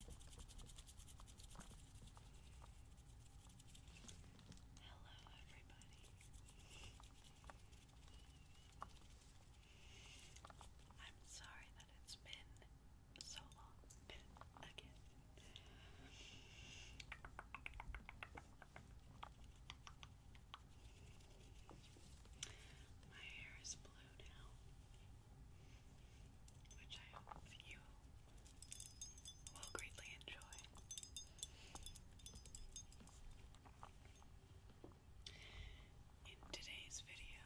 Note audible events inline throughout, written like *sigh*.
Hello, everybody. I'm sorry that it's been so long again. My hair is blue which I hope you will greatly enjoy. In today's video,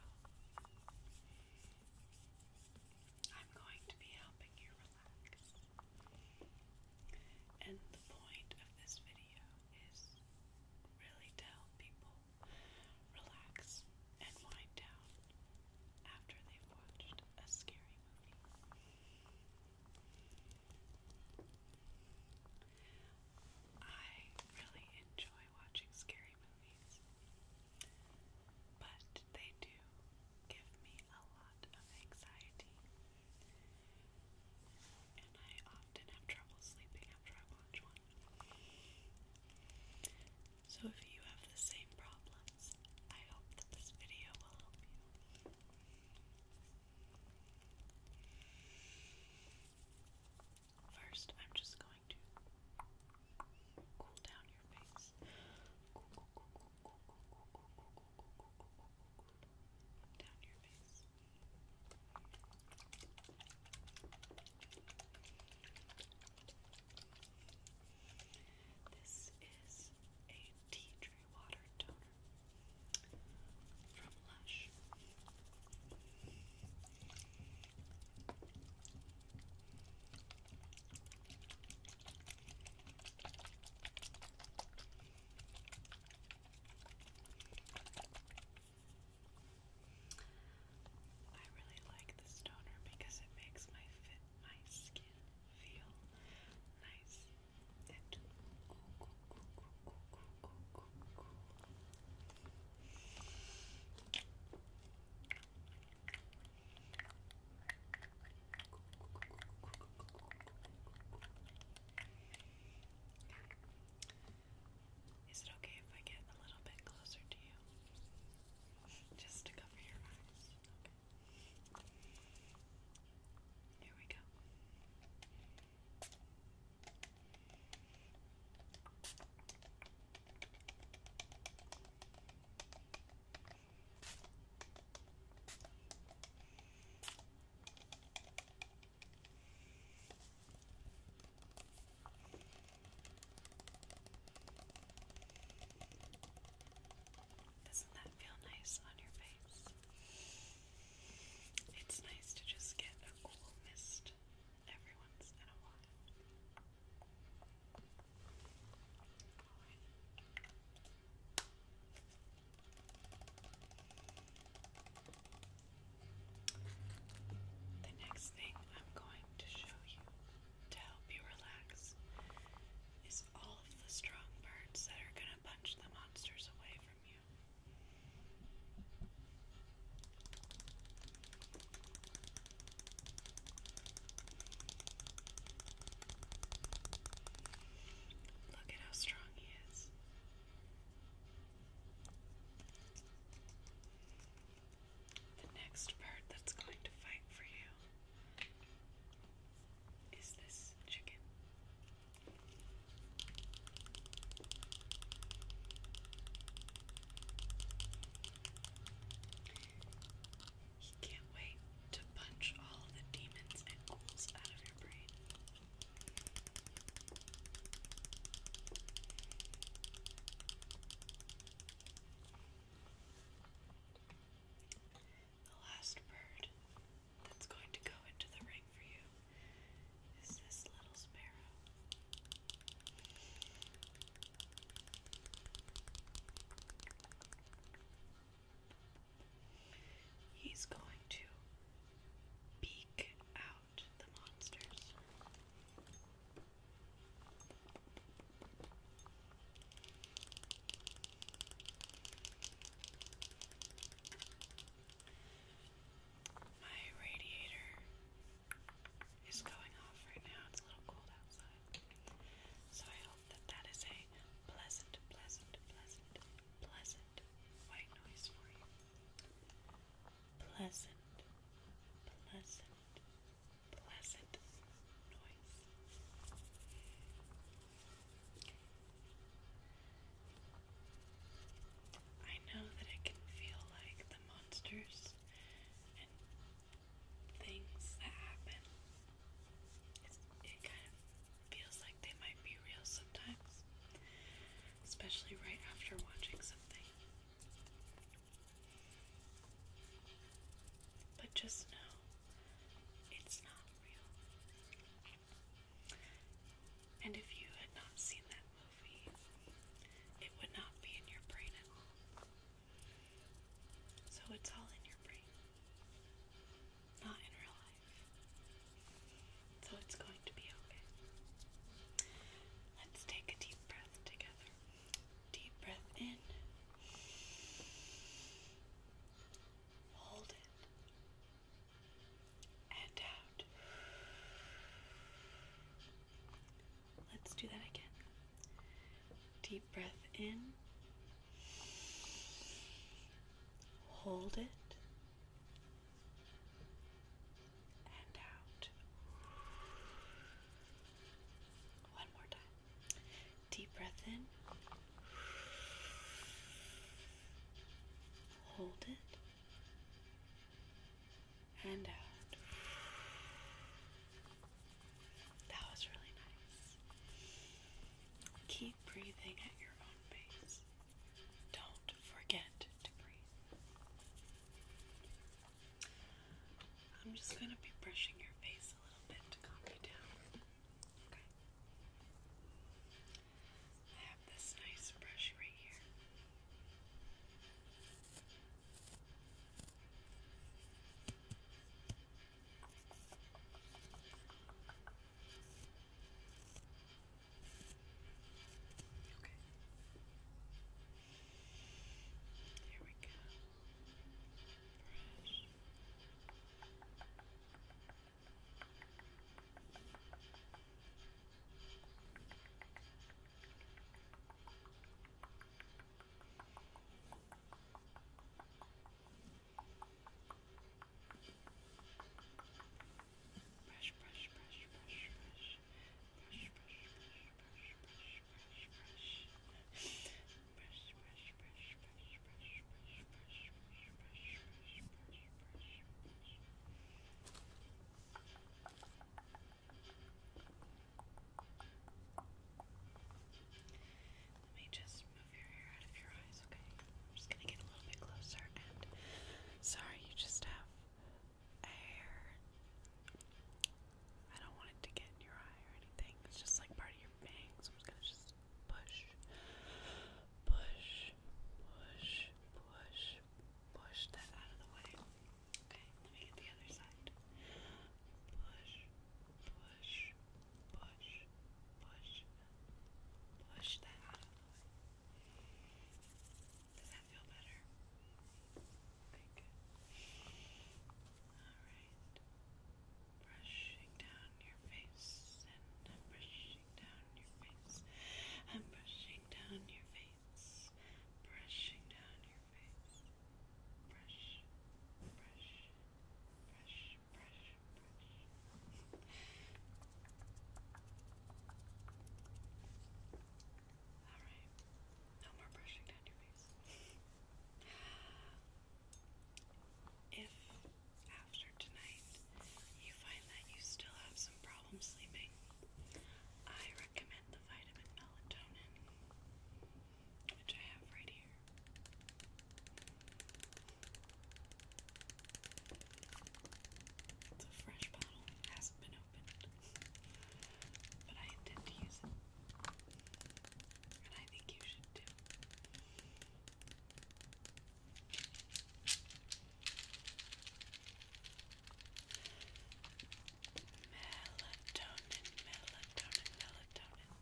I'm going to be helping you relax. And the point of this video is really to people relax, and wind down after they've watched a scary movie. I really enjoy watching scary movies, but they do give me a lot of anxiety. And I often have trouble sleeping after I watch one. So if you have the same problems, I hope that this video will help you. First, I'm just going to cool down your face. Down your face. This is a tea tree water toner from Lush. I really like this toner because it makes my fit my skin feel nice Is it okay if I get a little bit closer to you? Just to cover your eyes. Okay. Here we go. Doesn't that feel nice on your face? It's nice to just get a cool mist every once in a while. The next thing I'm going to show you to help you relax is all of the strong parts that are going to punch the monsters away from you. Look at how strong he is. The next bird that's going to fight for you is this chicken. He can't wait to punch all the demons and ghouls out of your brain. The last bird that's going to go into the ring for you is this little sparrow. He's going to peek out the monsters. My radiator is going off right now. It's a little cold outside. So I hope that that is a pleasant, pleasant, pleasant, pleasant white noise for you. Pleasant, pleasant, pleasant noise. I know that it can feel like the monsters and things that happen. it kind of feels like they might be real sometimes, especially right after watching something. But just know it's not real. And if you had not seen that movie, it would not be in your brain at all. So it's all in your brain, not in real life. So it's going to be okay. Let's take a deep breath together. Deep breath in. Hold it. And out. Let's do that again. Deep breath in. Hold it and out. One more time. Deep breath in. Hold it. And out. That was really nice. Keep breathing at your own pace. Don't forget to breathe. I'm just going to be brushing your face a little bit to calm you down. Okay. I have this nice brush right here. Okay. Here we go. Brush. Brush, brush, brush, brush, brush, brush, brush, brush, let me just move your hair out of your eyes, okay? I'm just gonna get a little bit closer and sorry you just have hair. I don't want it to get in your eye or anything. It's just like part of your bangs. I'm just gonna just push, push, push, push, push that out of the way. Okay, let me get the other side. Push, push, push, push, push that out of the way. Does that feel better? Okay, good. Alright. Brushing down your face, and brushing down your face. i brushing down your face. Brushing down your face. Brush, brush, brush, brush, brush. Alright. No more brushing down your face. *laughs* if after tonight you find that you still have some problem sleeping, I recommend the vitamin melatonin, which I have right here. It's a fresh bottle, hasn't been opened. But I intend to use it. And I think you should too. Melatonin, melatonin, melatonin.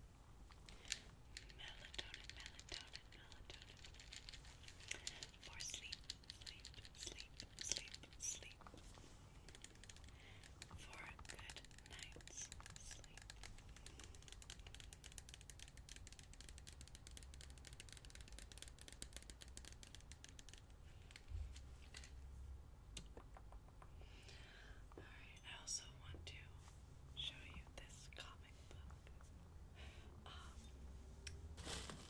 Melatonin, melatonin, melatonin. For sleep sleep, sleep, sleep, sleep for good night's sleep. Alright, I also want to show you this comic book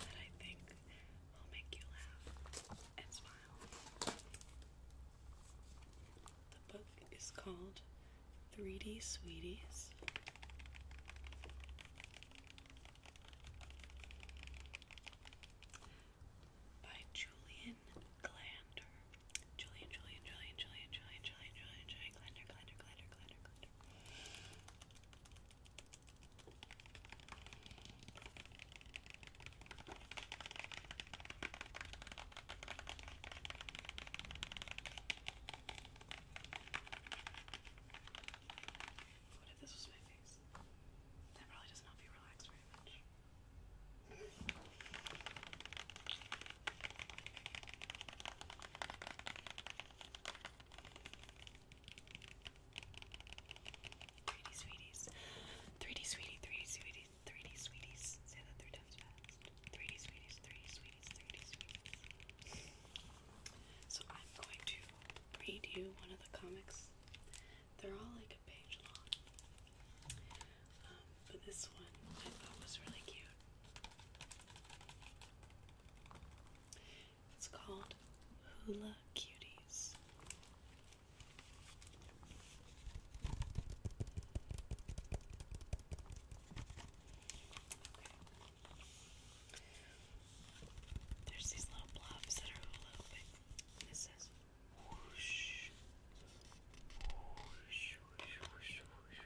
that I think I'll make you laugh and smile. The book is called 3D Sweeties. By Julian Glander. Julian, Julian, Julian, Julian, Julian, Julian, Julian, Julian, Glander, Glander, Glander, Glander, Glander. What if this was my face? That probably doesn't help you relax very much. 3D sweeties. 3D sweetie, 3D sweeties, 3D sweeties. Say that three times fast. 3D sweeties, 3D sweeties, 3D sweeties. So I'm going to read you one of the comics. They're all like a page long. Um, but this one I thought was really cute. It's called Hula Cuties. There's these little blobs that are hula hooping. It says Whoosh, whoosh, whoosh, whoosh, whoosh.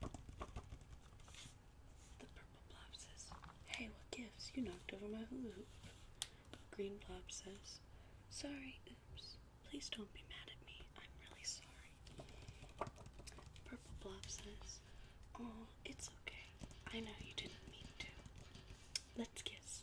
The purple blob says, Hey, what gives? You knocked over my hula hoop. Green blob says, Sorry, oops. Please don't be mad at me. I'm really sorry. Purple blob says, Oh, it's okay. I know you didn't mean to. Let's kiss.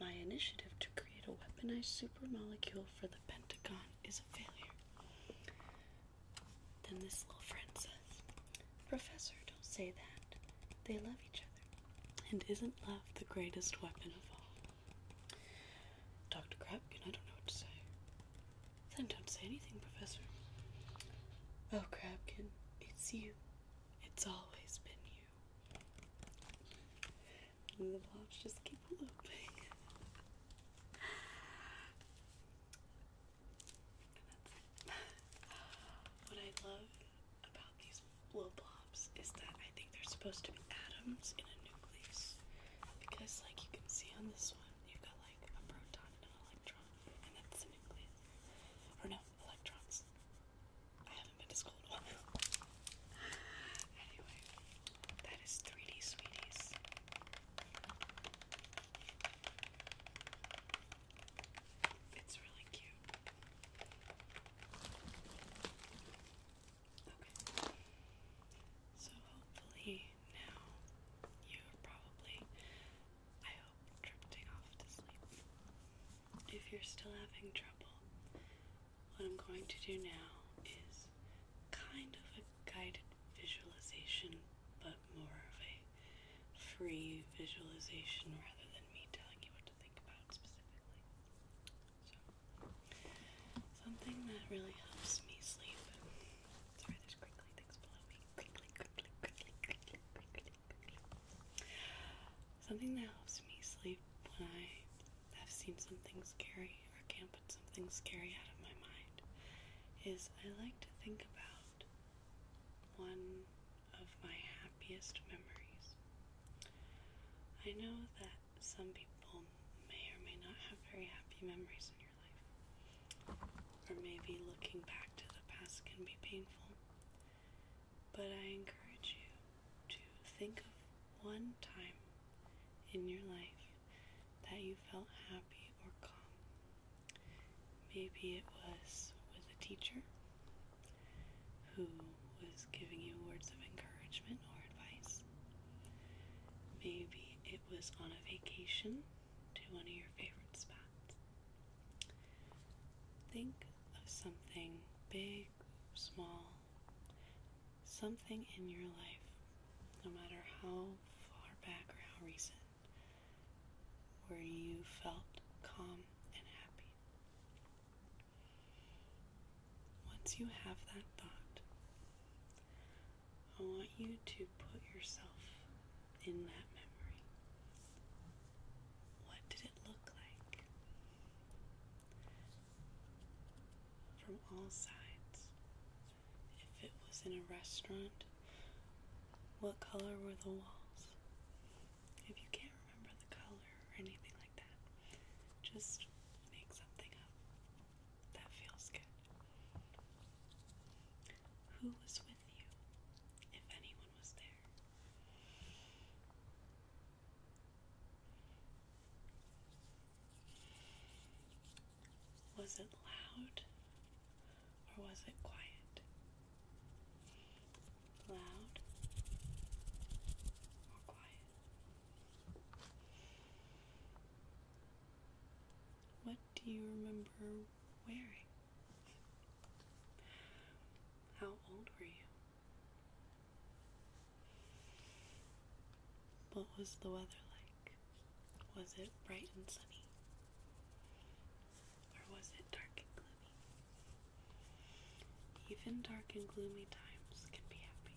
My initiative to create a weaponized supermolecule for the Pentagon is a failure. Then this little friend says, Professor, don't say that. They love each other. And isn't love the greatest weapon of all? Dr. Krabkin, I don't know what to say. Then don't say anything, Professor. Oh, Krabkin, it's you. It's always been you the blobs just keep looping. what I love about these blow blobs is that I think they're supposed to be atoms in a nucleus. Because like you can see on this one, you've got like a proton and an electron, and that's the nucleus. Or no, electrons. I haven't been to school in a while. anyway, that is 3D Sweeties. It's really cute. Okay. So hopefully now you're probably, I hope, drifting off to sleep if you're still having trouble, what I'm going to do now is kind of a guided visualization, but more of a free visualization rather than me telling you what to think about specifically. something that really helps me sleep. Sorry, there's crinkly things below me. Something that helps me sleep when I have seen something scary or can't put something scary out of my mind is I like to think about one of my happiest memories. I know that some people may or may not have very happy memories in your life, or maybe looking back to the past can be painful. But I encourage you to think of one time in your life that you felt happy or calm. Maybe it was with a teacher who was giving you words of encouragement or advice. Maybe it was on a vacation to one of your favorite spots. Think of something big, small, something in your life, no matter how far back or how recent, where you felt calm and happy. Once you have that thought, I want you to put yourself in that memory. What did it look like? from all sides. If it was in a restaurant, what color were the walls? If you can't remember the color or anything like that, just make something up. That feels good. Who was with you? If anyone was there. Was it loud or was it quiet? Loud or quiet? What do you remember wearing? How old were you? What was the weather like? Was it bright and sunny? Or was it dark and gloomy? Even dark and gloomy times can be happy.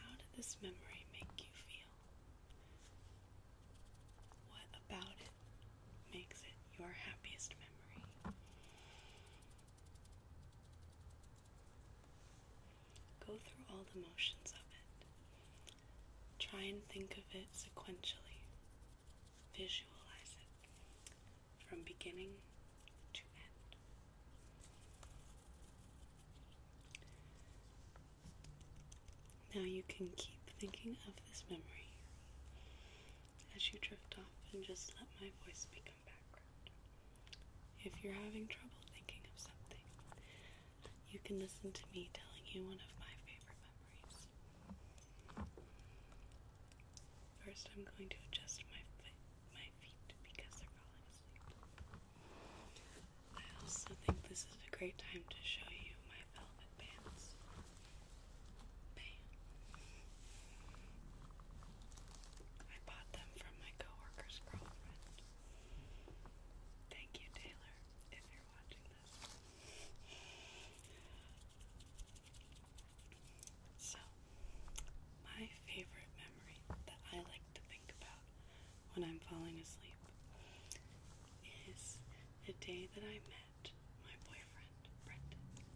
How did this memory make you feel? What about it makes it your happiest memory? Go through all the motions of it. Try and think of it sequentially. Visualize it from beginning to end. Now you can keep thinking of this memory as you drift off and just let my voice become background. If you're having trouble thinking of something, you can listen to me telling you one of my favorite memories. First, I'm going to adjust my, feet because they're falling asleep. I also think this is a great time to show you my velvet pants. Bam. I bought them from my coworker's girlfriend. Thank you, Taylor, if you're watching this. So, my favorite memory that I like to think about when I'm falling asleep is the day that I met my boyfriend, Brendan.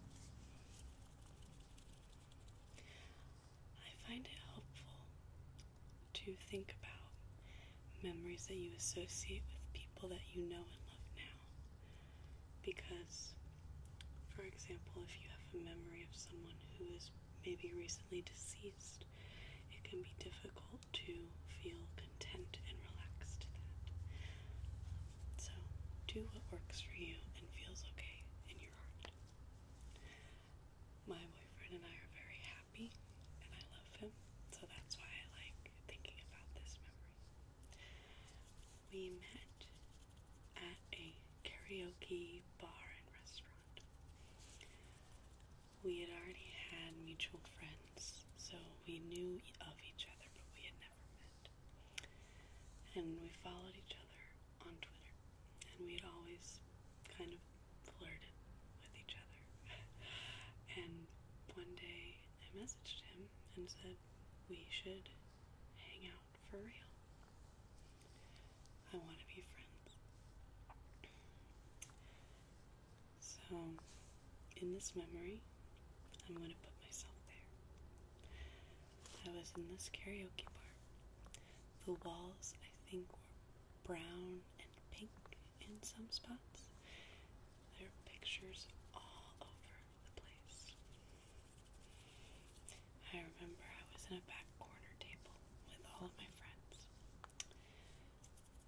I find it helpful to think about memories that you associate with people that you know and love now. Because, for example, if you have a memory of someone who is maybe recently deceased, it can be difficult to feel content and relaxed So do what works for you and feels okay in your heart. My boyfriend and I are very happy and I love him, so that's why I like thinking about this memory. We met at a karaoke bar and restaurant we had already had mutual friends, so we knew of each other, but we had never met. And we followed each other on Twitter, and we had always kind of flirted with each other. *laughs* and one day I messaged him and said, We should hang out for real. I want to be friends. So, in this memory, I'm going to put myself there. I was in this karaoke bar. The walls, I think, were brown and pink in some spots. There are pictures all over the place. I remember I was in a back corner table with all of my friends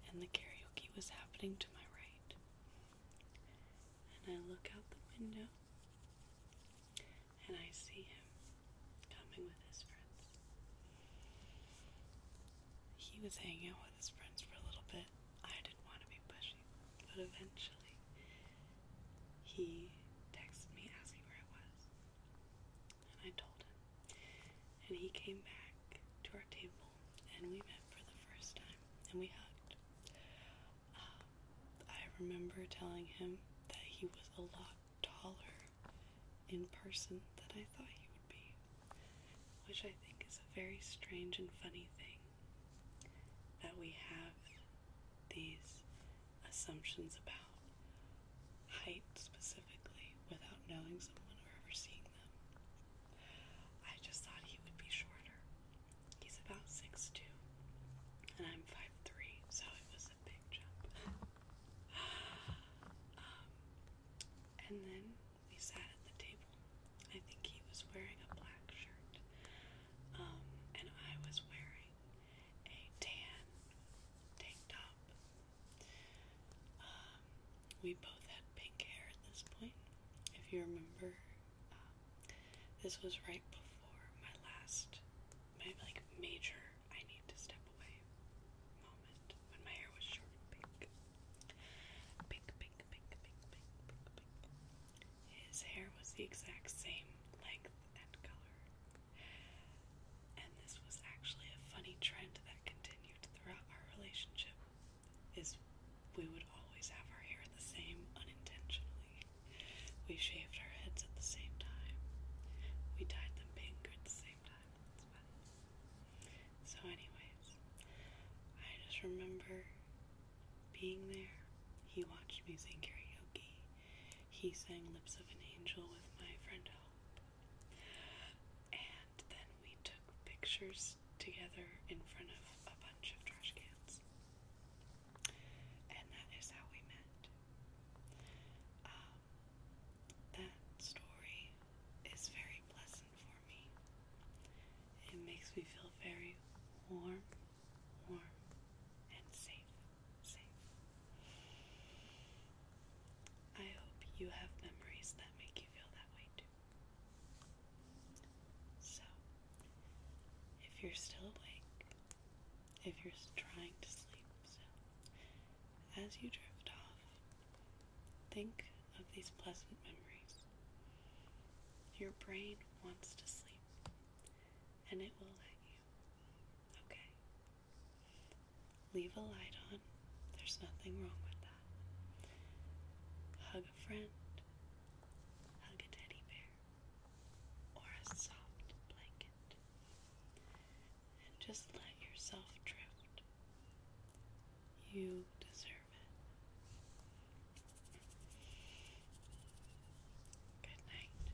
and the karaoke was happening to my right. And I look out the window and I see him coming with his friends. He was hanging out with his friends for a little bit. I didn't want to be pushing, but eventually he texted me asking where I was and I told him. And he came back to our table, and we met for the first time, and we hugged. Um, I remember telling him that he was a lot taller in person than I thought he would be, which I think is a very strange and funny thing that we have these assumptions about height specifically without knowing someone or ever seeing them. I just thought he would be shorter. He's about 6'2, and I'm 5'3, so it was a big jump. *laughs* Um, and then we sat at the table. I think he was wearing a black shirt, um, and I was wearing a tan tank top um, we both had pink hair at this point. If you remember, um, this was right before my last, my like major I need to step away moment when my hair was short pink. Pink, pink, pink, pink, pink, pink, pink. His hair was the exact same length and color and this was actually a funny trend that continued throughout our relationship, is we would always have our hair the same unintentionally. We shaved our heads at the same time. We dyed them pink at the same time. So anyways, I just remember being there. He watched me sing karaoke. He sang Lips of an Angel with my friend help. And then we took pictures together in front of a bunch of trash cans. And that is how we met. Um, that story is very pleasant for me. It makes me feel very warm, warm, and safe, safe. I hope you have memories that make you feel that way too. So, if you're still awake, if you're trying to sleep as you drift off, think of these pleasant memories. Your brain wants to sleep, and it will let you. Okay? Leave a light on, there's nothing wrong with that. Hug a friend, hug a teddy bear, or a soft blanket, and just let yourself drift. You deserve it. Good night.